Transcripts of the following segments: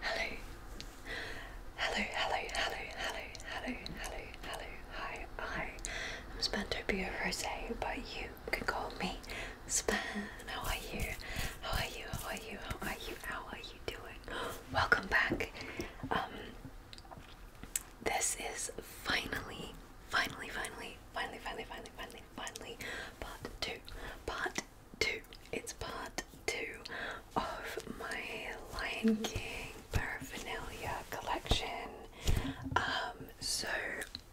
Hello. Hello, hello, hello, hello, hello, hello, hello, hi, I am Spantopia Rose, but you can call me Span. How are you? How are you? How are you? How are you? How are you doing? Welcome back. Um this is finally, finally, finally, finally, finally, finally, finally, finally part two. Part two. It's part two of my Lion King paraphernalia collection. Um, so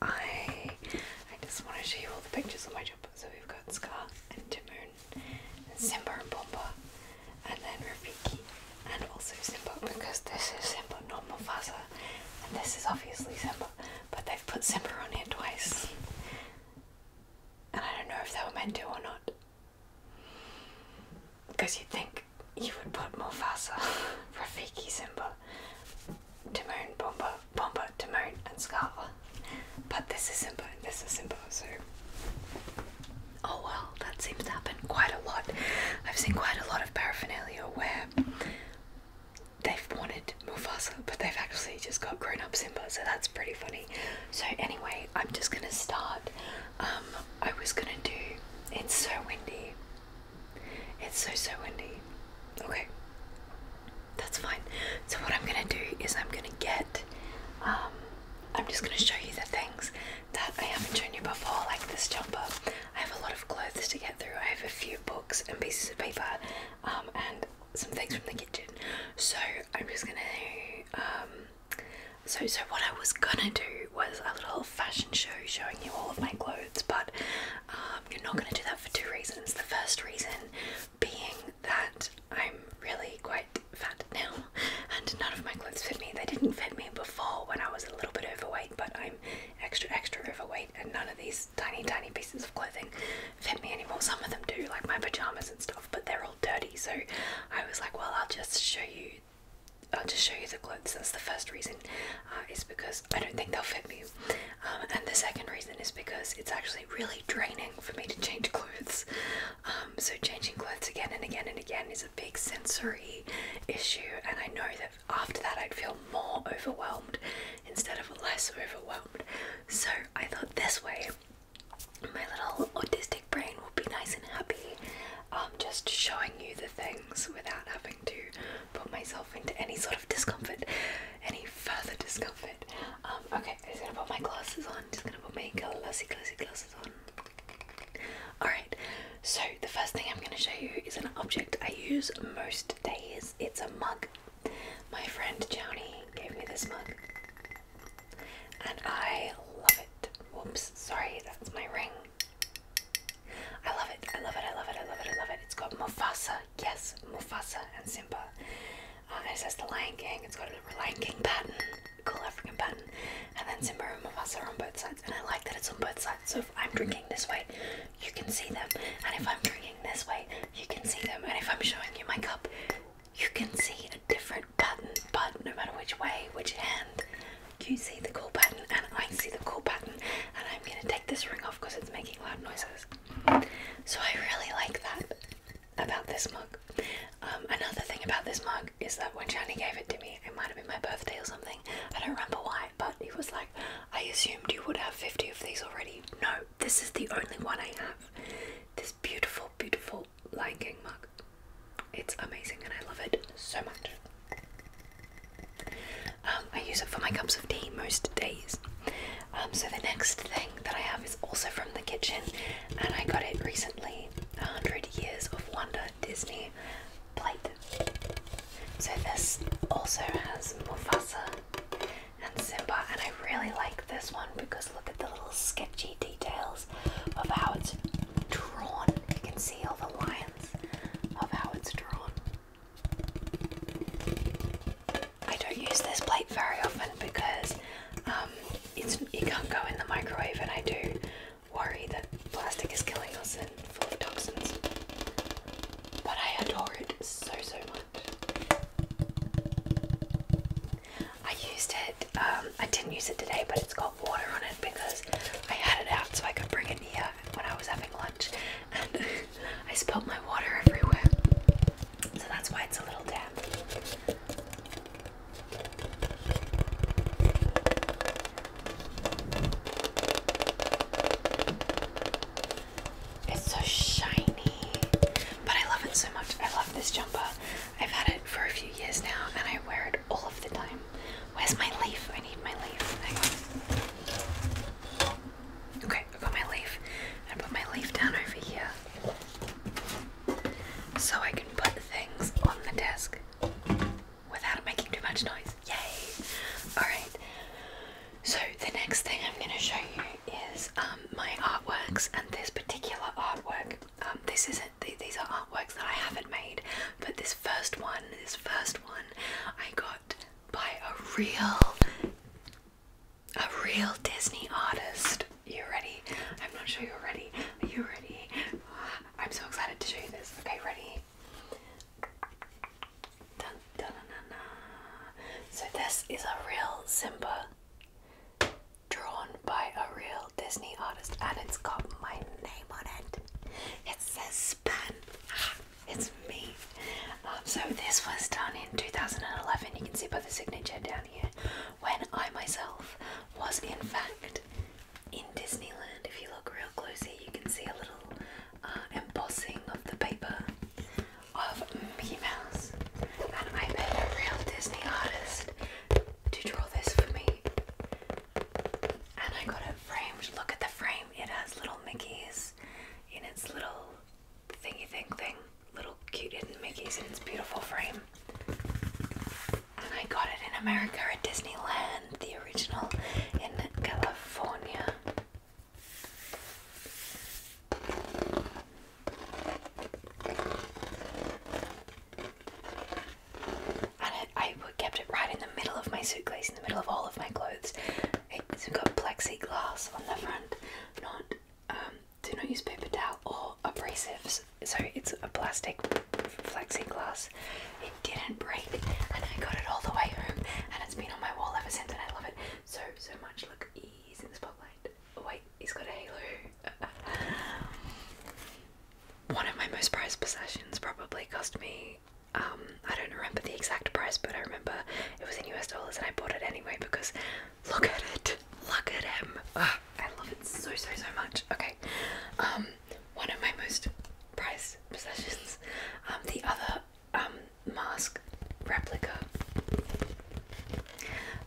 I I just want to show you all the pictures of my job. So we've got Scar and Timon and Simba and Bomba and then Rafiki and also Simba because this is Simba, not Mufasa, and this is obviously Simba but they've put Simba on here twice. And I don't know if they were meant to or not. Because you'd think you would put Mufasa, Rafiki, Simba, Timon, Bomba, Bomba, Timon, and Scarla. But this is Simba and this is Simba, so. Oh well, that seems to happen quite a lot. I've seen quite a lot of paraphernalia where they've wanted Mufasa, but they've actually just got grown up Simba, so that's pretty funny. So, anyway, I'm just gonna start. Um, I was gonna do It's So Windy. It's so, so windy. Okay, that's fine. So, what I'm gonna do is I'm gonna get, um, I'm just gonna show you the things that I haven't shown you before, like this jumper. I have a lot of clothes to get through, I have a few books and pieces of paper, um, and some things from the kitchen. So I'm just gonna um, so so what I was gonna do was a little fashion show showing you all of my clothes, but um, you're not gonna do that for two reasons. The first reason being that I'm really quite fat now, and none of my clothes fit me. They didn't fit me before when I was a little bit overweight, but I'm extra extra overweight, and none of these tiny, tiny pieces of clothing fit me anymore. Some of them do, like my pajamas and stuff, but they're all dirty. So I was like, well, I'll just show you. I'll just show you the clothes. That's the first reason, uh, is because I don't think they'll fit me. Um, and the second reason is because it's actually really draining for me to change clothes. Um, so changing clothes again and again and again is a big sensory issue, and I know that after that I'd feel more overwhelmed instead of less overwhelmed. So I thought this way my little autistic brain will be nice and happy, um, just showing you the things without having to put myself into any sort of discomfort, any further discomfort. Um, okay, I'm just gonna put my glasses on, just gonna put my glossy, glossy glasses on. Alright, so the first thing I'm gonna show you is an object I use most days. It's a mug. My friend Johnny gave me this mug. And I love it. Whoops, sorry, that's my ring. I love it, I love it, I love it, I love it, I love it. It's called Mufasa. Yes, Mufasa and Simba. Uh, and it says the Lion King. It's got a Lion King pattern, cool African pattern. And then Simba and Mufasa are on both sides. And I like that it's on both sides. So if I'm drinking this way, you can see them. And if I'm drinking this way, you can see them. And if I'm showing you my cup, you can see a different button. But no matter which way, which hand, you see the cool button, and I see the cool button, And I'm gonna take this ring off because it's making loud noises. So I really like that about this mug. Um, another thing about this mug is that when Shani gave it to me, it might have been my birthday or something. I don't remember why, but he was like, I assumed you would have 50 of these already. No, this is the only one I have. This beautiful, beautiful Lion King mug. It's amazing and I love it so much. Um, I use it for my cups of tea most days. Um, so the next thing that I have is also from the kitchen, and I got it recently. 100 Years of Wonder Disney plate. So this also has Mufasa and Simba. And I really like this one because look at the little sketchy details of how it's drawn. You can see all the lines of how it's drawn. I don't use this plate very often because um, it's, it can't go in the microwave, and I do worry that plastic is killing us and full of toxins. But I adore it so so much. I used it, um, I didn't use it today, but it's got water on it because I had it out so I could bring it here when I was having lunch and I spilled my water everywhere. So that's why it's a little damp. It's so shiny. But I love it so much. I love this jumper. I've had it for a few years now and I wear it all of the time. Where's my leaf? I need my leaf. Okay, I've got my leaf. I put my leaf down over here so I can put things on the desk without making too much noise. Yay! Alright, so the next thing I'm going to show you is um, my artworks, and this particular artwork. Um, this isn't. these are artworks that I haven't made, but this first one, this first one, I got by a real, a real Disney artist. You ready? I'm not sure you're ready. Are you ready? I'm so excited to show you this. Okay, ready? So this is a real Simba drawn by a real Disney artist and it's got my name on it. It says Span. it's me. Um, so this was done in 2011. You can see by the signature down here when I myself was in fact in Disneyland. If you look real close here, you can see a little uh, embossing of the paper of females, and I paid a real Disney artist to draw this for me. And I got it framed. Look at the frame, it has little Mickeys in its little thingy thing thing. Little cute little Mickeys in its beautiful frame. And I got it in America at Disneyland, the original in California. I, I kept it right in the middle of my suitcase, in the middle of all of my clothes. It's got plexiglass on the front, not um, do not use paper towel or abrasives. So it's a plastic plexiglass. It didn't break, and I got it all the way home, and it's been on my wall ever since, and I love it so so much. Look, He's in the spotlight. wait, he's got a halo. One of my most prized possessions probably cost me. Um, I don't remember the exact price, but I remember it was in US dollars, and I bought it anyway because look at it, look at him. Ah, I love it so so so much. Okay, um, one of my most prized possessions. Um, the other um, Mosque replica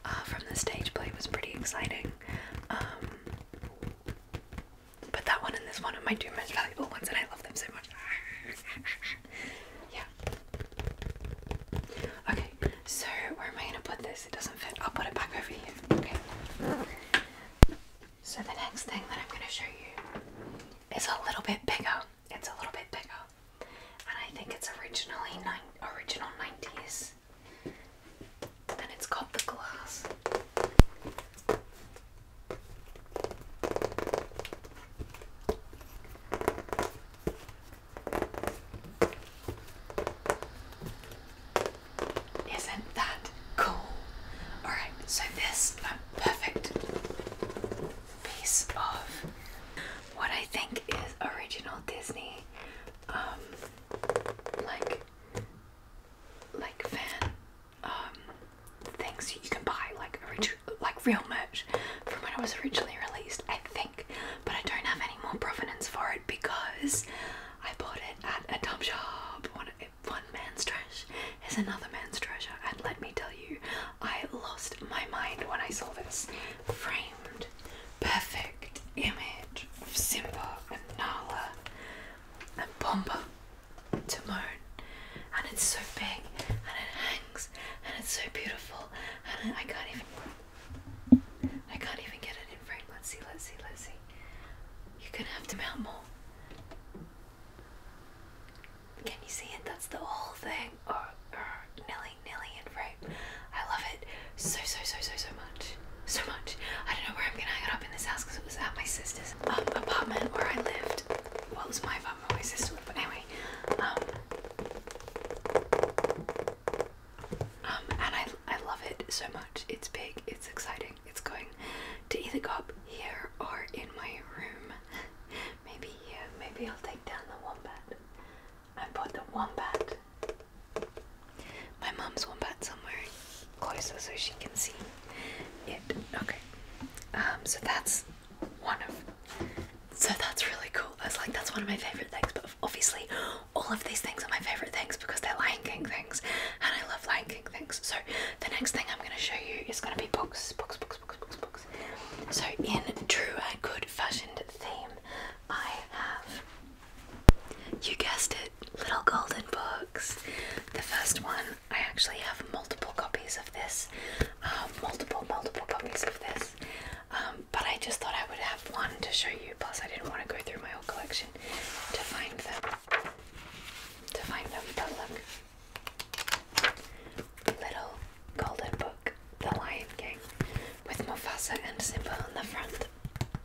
uh, from the stage play was pretty exciting. Um, that one and this one are my two most valuable ones, and I love them so much. yeah. Okay, so where am I gonna put this? It doesn't fit. I'll put it back over here. Okay. So the next thing that I'm gonna show you is a little bit bigger it's a little bit bigger, and I think it's originally nine original nineties. And it's got the glass. Isn't that cool? Alright, so this perfect piece of what I think is original Disney, um, like, like fan, um, things you can buy, like original, like real merch from when it was originally released, I think. But I don't have any more provenance for it because I bought it at a dump shop. One, one man's trash is another man's treasure, and let me tell you, I lost my mind when I saw this framed, perfect image of Simba and Nala and Bomba, Timon, and it's so big and it hangs and it's so beautiful and I can't even I can't even get it in frame. Let's see, let's see, let's see. You're gonna have to mount more. Can you see it? That's the whole thing. Or, oh, or oh, nearly nilly and I love it so, so, so, so, so much. So much. I don't know where I'm gonna hang it up in this house because it was at my sister's um, apartment where I lived. What was my apartment, my sister lived, but anyway. Um, um, and I, I love it so much. It's big, it's exciting, it's going to either go up here or in my room. maybe here, maybe I'll take down the one wombat. I put the wombat. My mom's wombat somewhere closer so she can see it. Okay. Um, so that's one of so that's really cool. I was like that's one of my favorite things, but obviously all of these things are my favorite things because they're Lion King things and I love Lion King things. So the next thing I'm gonna show you is gonna be books, books, books. So in true and good fashioned theme, I have, you guessed it, little golden books. The first one, I actually have multiple copies of this, uh, multiple, multiple copies of this. Um, but I just thought I would have one to show you. Plus, I didn't want to go through my whole collection to find them. To find them, but look little golden book, The Lion King, with Mufasa and Simba on the front.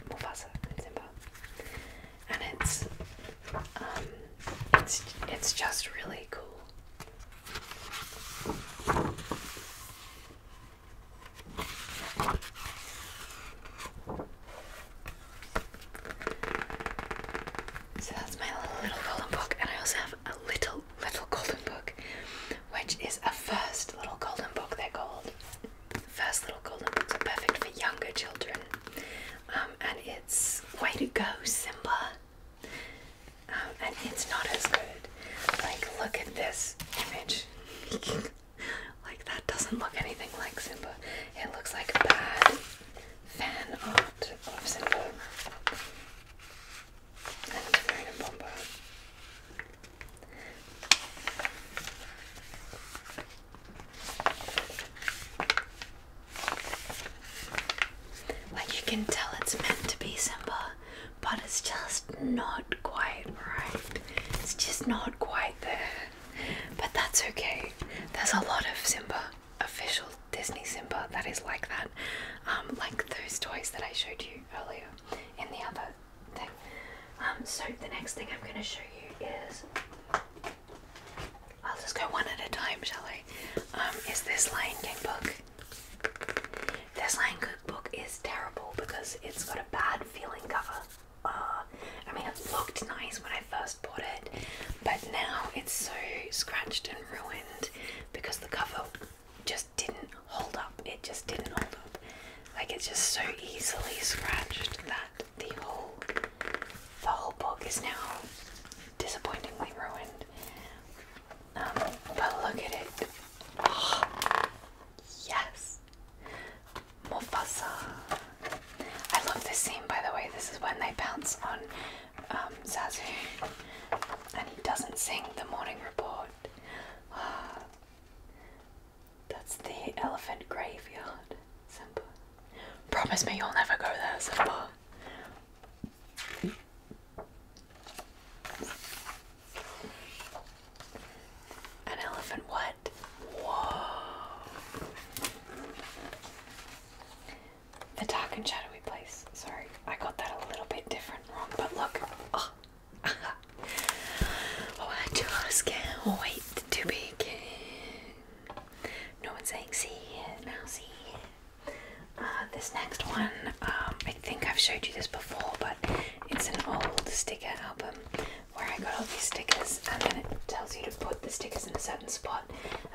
Mufasa and Simba. And it's um it's it's just really cool. So that's my little golden book, and I also have a little little golden book, which is a first little golden book, they're called. First little golden books are perfect for younger children. Um, and it's way to go, Simba. Um, and it's not as good. Like, look at this image. like, that doesn't look anything like Simba. It looks like bad fan art of Simba. Like you can tell it's meant to be Simba, but it's just not quite right. It's just not quite there. But that's okay. There's a lot of Simba, official Disney Simba that is like that. Um, like those toys that I showed you earlier in the other thing. Um, so the next thing I'm going to show you is, I'll just go one at a time, shall I? Um, is this Lion King book? This Lion King book is terrible because it's got a bad feeling cover. Uh, I mean, it looked nice when I first bought it, but now it's so scratched and ruined because the cover just didn't hold up. It just didn't hold up. Like it's just so easily scratched that the whole the whole book is now disappointingly ruined. Um, but look at it. yes. Mufasa. I love this scene by the way. This is when they bounce on um, Zazu and he doesn't sing the morning report. That's the elephant graveyard, Simba. Promise me you'll never go there, Simba. An elephant what? Whoa. The dark and shadowy place. Sorry, I got that a little bit different wrong, but look. Ah oh, I just can't wait to begin. No one's saying see it now, see uh, this next one, um, I think I've showed you this before, but it's an old sticker album where I got all these stickers, and then it tells you to put the stickers in a certain spot.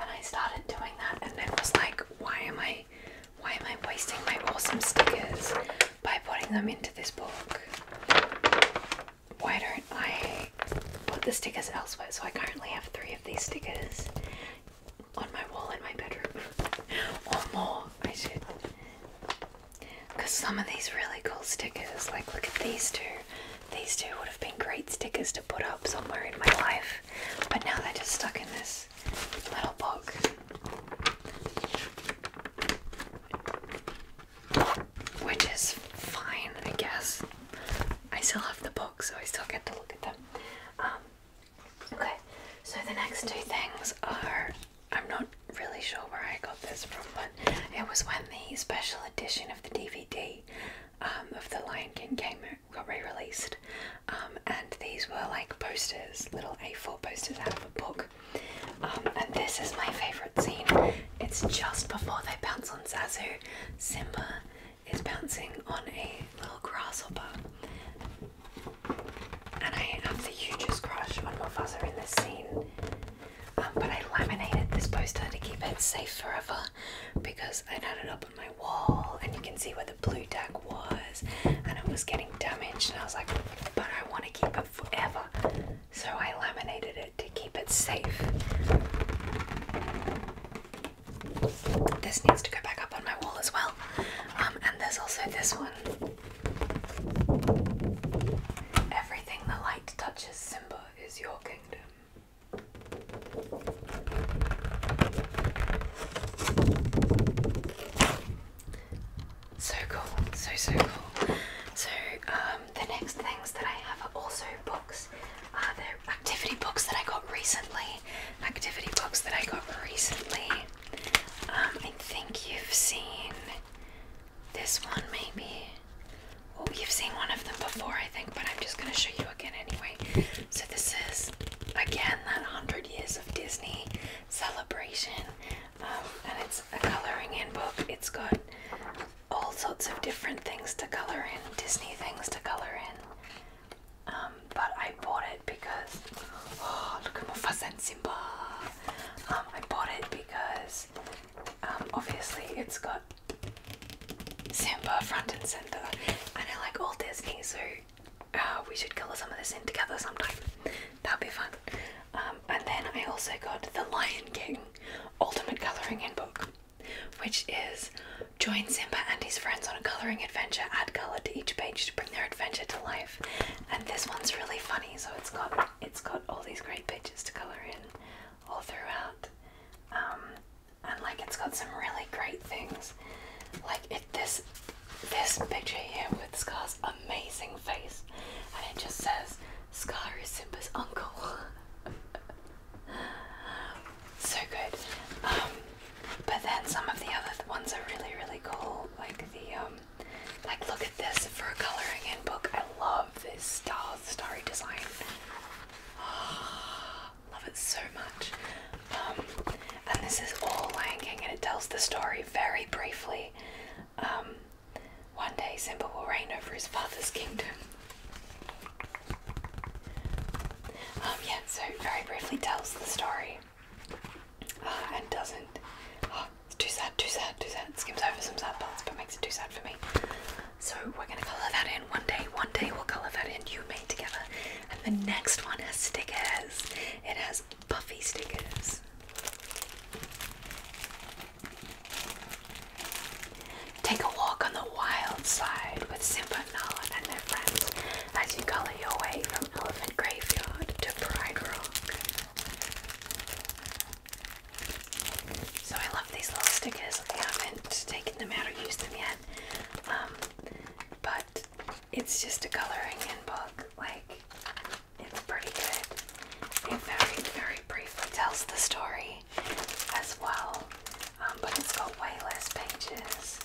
And I started doing that, and it was like, why am I why am I wasting my awesome stickers by putting them into this book? Why don't I put the stickers elsewhere? So I currently have three of these stickers on my wall in my bedroom. or more, I should. Because some of these really cool stickers, like look at these two. These two would have been great stickers to put up somewhere in my life, but now they're just stuck in this little book. Which is fine, I guess. I still have the book, so I still get to look at them. Um, okay, so the next two things are I'm not really sure where I got this from, but it was when the special edition of the DVD um, of The Lion King came got re-released, um, and these were like posters, little A4 posters out of a book. Um, and this is my favorite scene. It's just before they bounce on Zazu. Simba is bouncing on a little grasshopper, and I have the hugest crush on Mufasa in this scene. Um, but I laminated this poster to keep it safe forever because I had it up on my wall, and you can see where the blue deck was and it was getting damaged and I was like but I want to keep it forever so I laminated it to keep it safe. This needs to go back up on my wall as well um, and there's also this one. Everything the light touches Simba is your kingdom. So cool, so so cool. So um, the next things that I have are also books. Are uh, the activity books that I got recently. Activity books that I got recently. Um, I think you've seen this one maybe. Oh, you've seen one of them before, I think, but I'm just going to show you again anyway. So this is again that 100 years of Disney celebration, um, and it's a coloring in book. It's got all sorts of different things to color in, Disney things to color in. Um, but I bought it because oh, look at Mufasa and Simba. Um, I bought it because obviously it's got Simba front and center, and I like all Disney, so Oh, we should color some of this in together sometime. That'd be fun. Um, and then I also got the Lion King Ultimate Coloring In book, which is join Simba and his friends on a coloring adventure. Add color to each page to bring their adventure to life. And this one's really funny, so it's got it's got all these great pictures to color in all throughout. Um, and like it's got some really great things. Like it this this picture here with Scar's amazing face, and it just says Scar is Simba's uncle. so good. Um, but then some of the other ones are really, really cool. Like the um, like look at this for a coloring in book. I love this star starry design. love it so much. Um, and this is all Lion and it tells the story very briefly. Um, one day, Simba will reign over his father's kingdom. Um, yeah, so very briefly tells the story uh, and doesn't. Oh, it's too sad, too sad, too sad. It skims over some sad parts, but makes it too sad for me. So we're gonna colour that in one day. One day we'll colour that in, you made together. And the next one has stickers. It has has puffy stickers. Take a walk on the wild side with Simba, Nala, and their friends as you color your way from Elephant Graveyard to Pride Rock. So I love these little stickers. I haven't taken them out or used them yet, um, but it's just a coloring in book. Like, it's pretty good. It very, very briefly tells the story as well, um, but it's got way less pages.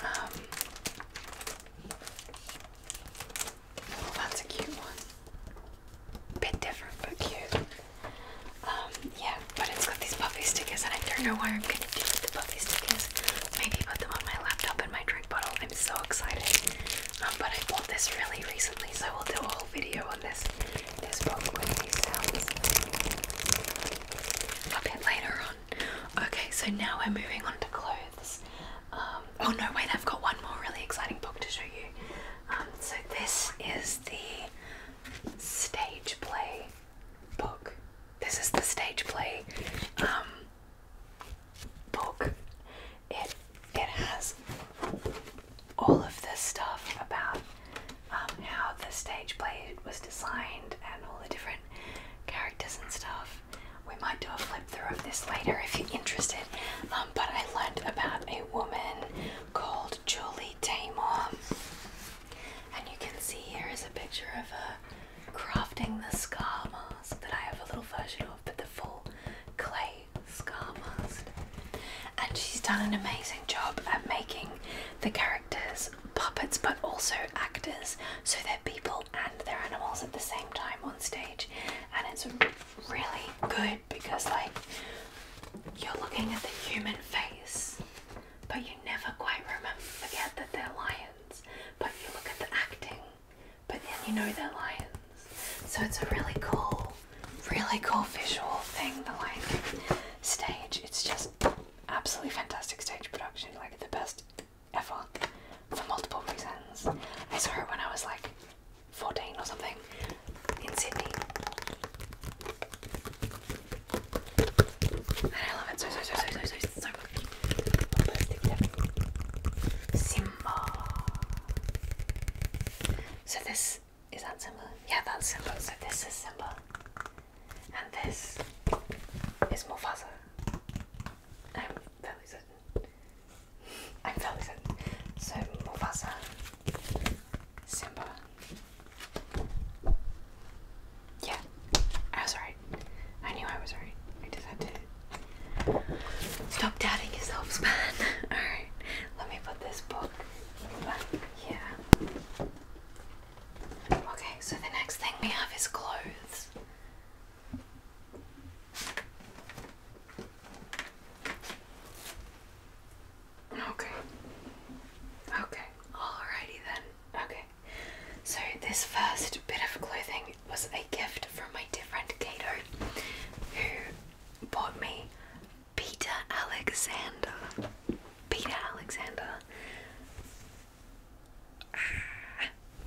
Um, oh, that's a cute one. Bit different, but cute. Um, yeah, but it's got these puffy stickers, and I don't know what I'm going to do with the puppy stickers. Maybe put them on my laptop and my drink bottle. I'm so excited. Um, but I bought this really recently, so we'll do a whole video on this. This book with these sounds a bit later on. Okay, so now we're moving on to clothes. Um, oh no, wait, I've got one more really exciting book to show you. Um, so this is the stage play book. This is the stage play um, book. It it has all of this stuff about um, how the stage play was designed and all the different characters and stuff. We might do a flip through of this later if you're interested. Um, but I learned about a woman called Julie Taymor and you can see here is a picture of her uh, crafting the scar mask that I have a little version of, but the full clay scar mask. And she's done an amazing job at making the characters puppets, but also actors, so they're people and they're animals at the same time on stage. And it's really good because, like, you're looking at the human face but you never quite remember forget that they're lions. But you look at the acting, but then you know they're lions. So it's a really cool, really cool visual thing. The Lion stage. It's just absolutely fantastic stage production. Like the best ever for multiple reasons. I saw it when I was like 14 or something in Sydney. And I so, so, so, so, so, so, so much. Simba. So this, is that symbol. Yeah, that symbol. So this is symbol, And this is Mufasa. I'm fairly certain. I'm fairly certain. So more Mufasa Simba. Yeah, I was right. I knew I was right. I just had to stop doubting yourself, man. Alright, let me put this book back Okay, so the next thing we have is clothes. Okay. Okay. Alrighty then. Okay, so this first bit of clothing was a gift from my dear friend Kato, who bought me Peter Alexander. Peter Alexander. Ah,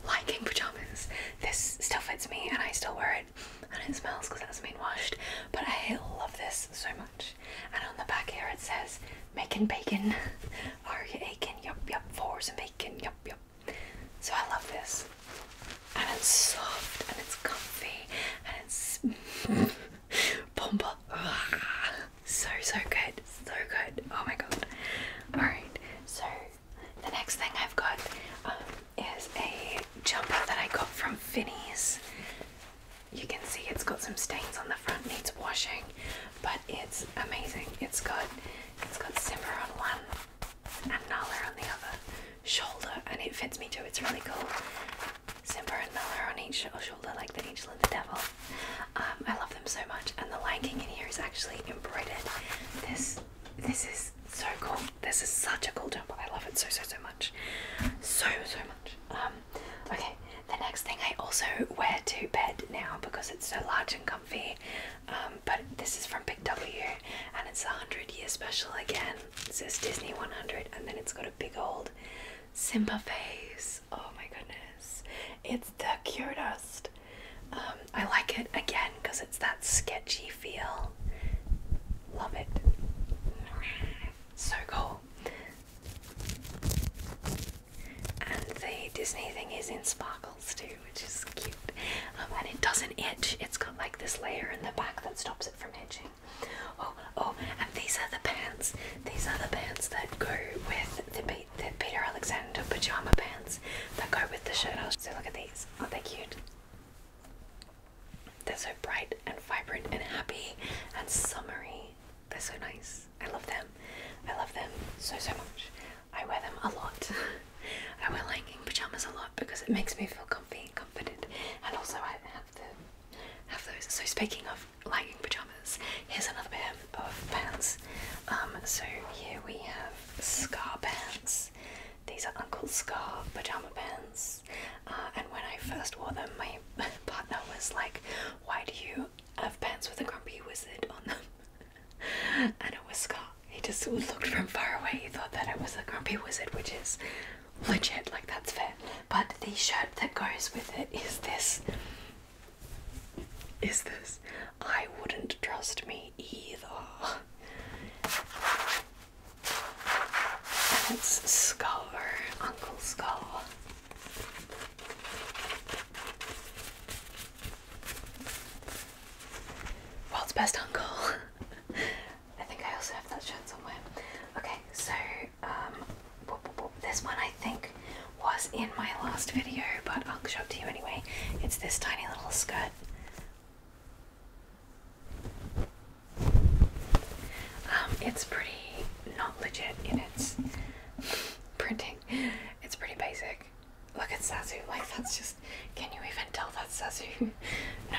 liking pajamas. This still fits me and I still wear it and it smells because it hasn't been washed, but I love this so much. And on the back here it says making bacon. Are you aching? Yup, yup. For some bacon. Yup, yup. So I love this. And it's soft and it's comfy and it's bomba. So, so good. So good. Oh my god. Alright, so the next thing I've got um, is a jumper that I got from Finney's you can see it's got some stains on the front, needs washing, but it's amazing. It's got it's got Simber on one and Nala on the other shoulder, and it fits me too. It's really cool. Simber and Nala on each shoulder, like the angel and the devil. Um, I love them so much, and the lining in here is actually embroidered. This this is so cool. This is such a cool jumper. I love it so so so much, so so much. Um, Okay, the next thing I also wear to bed now because it's so large and comfy. Um, but this is from Big W and it's a 100 year special again. It says Disney 100 and then it's got a big old Simba face. Oh my goodness. It's the cutest. Um, I like it again because it's that sketchy feel. Love it. So cool. And the Disney thing is in sparkles too, which is cute. Um, and it doesn't itch. It's got like this layer in the back that stops it from itching. Oh, oh, and these are the pants. These are the pants that go with the, the Peter Alexander pajama pants that go with the shirt. So look at these. Aren't they cute? They're so bright and vibrant and happy and summery they're so nice. I love them. I love them so, so much. I wear them a lot. I wear liking pajamas a lot because it makes me feel comfy and confident. And also, I have the have those. So, speaking of liking pajamas, here's another pair of pants. Um, so here we have Scar pants. These are Uncle Scar pajama pants. Uh, and when I first wore them, my partner was like, "Why do you of pants with a grumpy wizard on them and it was Scott. He just looked from far away, he thought that it was a grumpy wizard, which is legit, like that's fair. But the shirt that goes with it is this. Is this? I wouldn't trust me either. And it's Scar, Uncle Scar. World's best uncle. I think I also have that shirt somewhere. Okay, so um, this one I think was in my last video, but I'll show it to you anyway. It's this tiny little skirt. Um, it's pretty not legit in its printing. It's pretty basic. Look at Sazu, like that's just, can you even tell that's Sazu? no,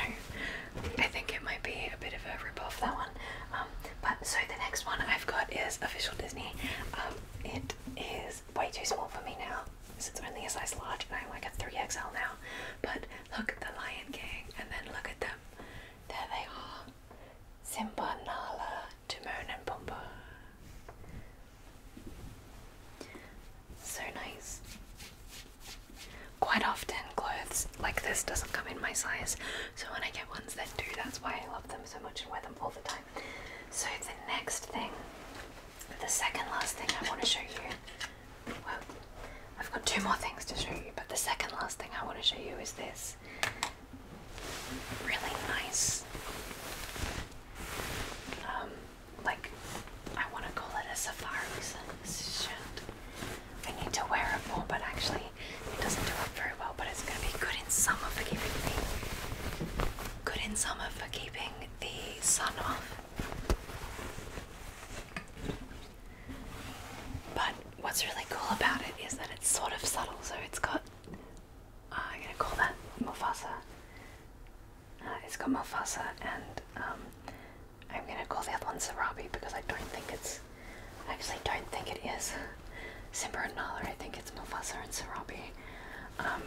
I think it might be a bit of a rip off that one. Um, but so the next one I've got is Official Disney. Um, it is way too small for me now, because it's only a size large and I'm like a 3XL now. But look at the Lion King and then look at them. There they are. Simba, Nala, Timon and Pumbaa. So nice. Quite often, clothes like this doesn't come in my size, so when I get ones that do, that's why I love them so much and wear them all the time. So the next thing, the second last thing I want to show you. Well, I've got two more things to show you, but the second last thing I want to show you is this really nice. Um, like I want to call it a safari shirt. I need to wear it more, but actually it doesn't do it very well. But it's going to be good in summer for keeping good in summer for keeping the sun off. But what's really cool about it is that it's sort of subtle, so it's got uh, I'm gonna call that Mufasa. Uh, it's got Mufasa, and um, I'm gonna call the other one Sarabi because I don't think it's. I actually don't think it is Simba and Nala. I think it's Mufasa and Sarabi. Um,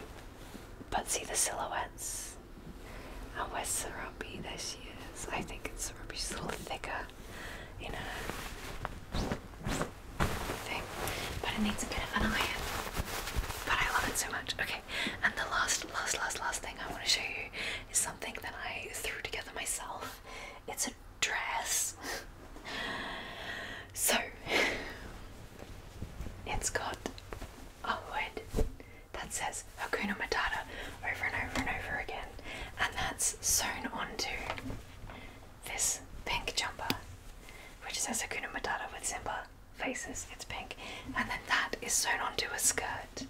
but see the silhouettes. Uh, where's Sarabi? There she is. I think it's Sarabi. She's a little thicker, you know but it needs a bit of an But I love it so much. Okay, and the last, last, last, last thing I want to show you is something that I threw together myself. It's a dress. so it's got a word that says Hakuna Matata over and over and over again, and that's sewn onto this pink jumper, which says Hakuna Matata with Simba faces. It's pink, and then that is sewn onto a skirt,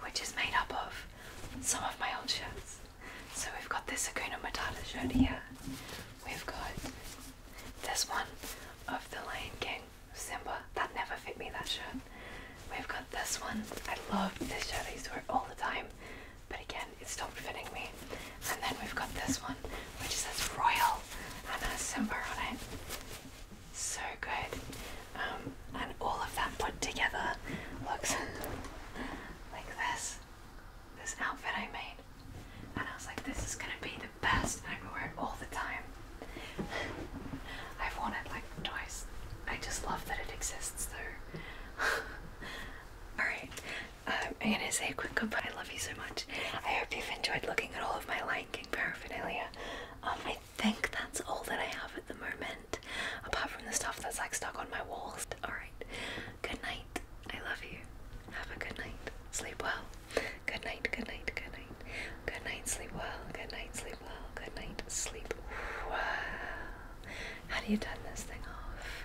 which is made up of some of my old shirts. So we've got this Hakuna Matata shirt here. We've got this one of the Lion King Simba. That never fit me. That shirt. We've got this one. I love this shirt. I used to wear all the time but again, it stopped fitting me. And then we've got this one, which says Royal and has Simba on it. So good. Um, and all of that put together looks like this. This outfit I made. And I was like, this is gonna be the best, and I can wear it all the time. I've worn it like twice. I just love that it exists though. Alright, um, I'm gonna say a quick goodbye. I love you so much. I hope you've enjoyed looking at all of my Lion King paraphernalia. Um, I think that's all that I have at the moment, apart from the stuff that's like stuck on my walls. Alright, good night. I love you. Have a good night. Sleep well. Good night, good night, good night. Good night, sleep well. Good night, sleep well. Good night, sleep well. How do you turn this thing off?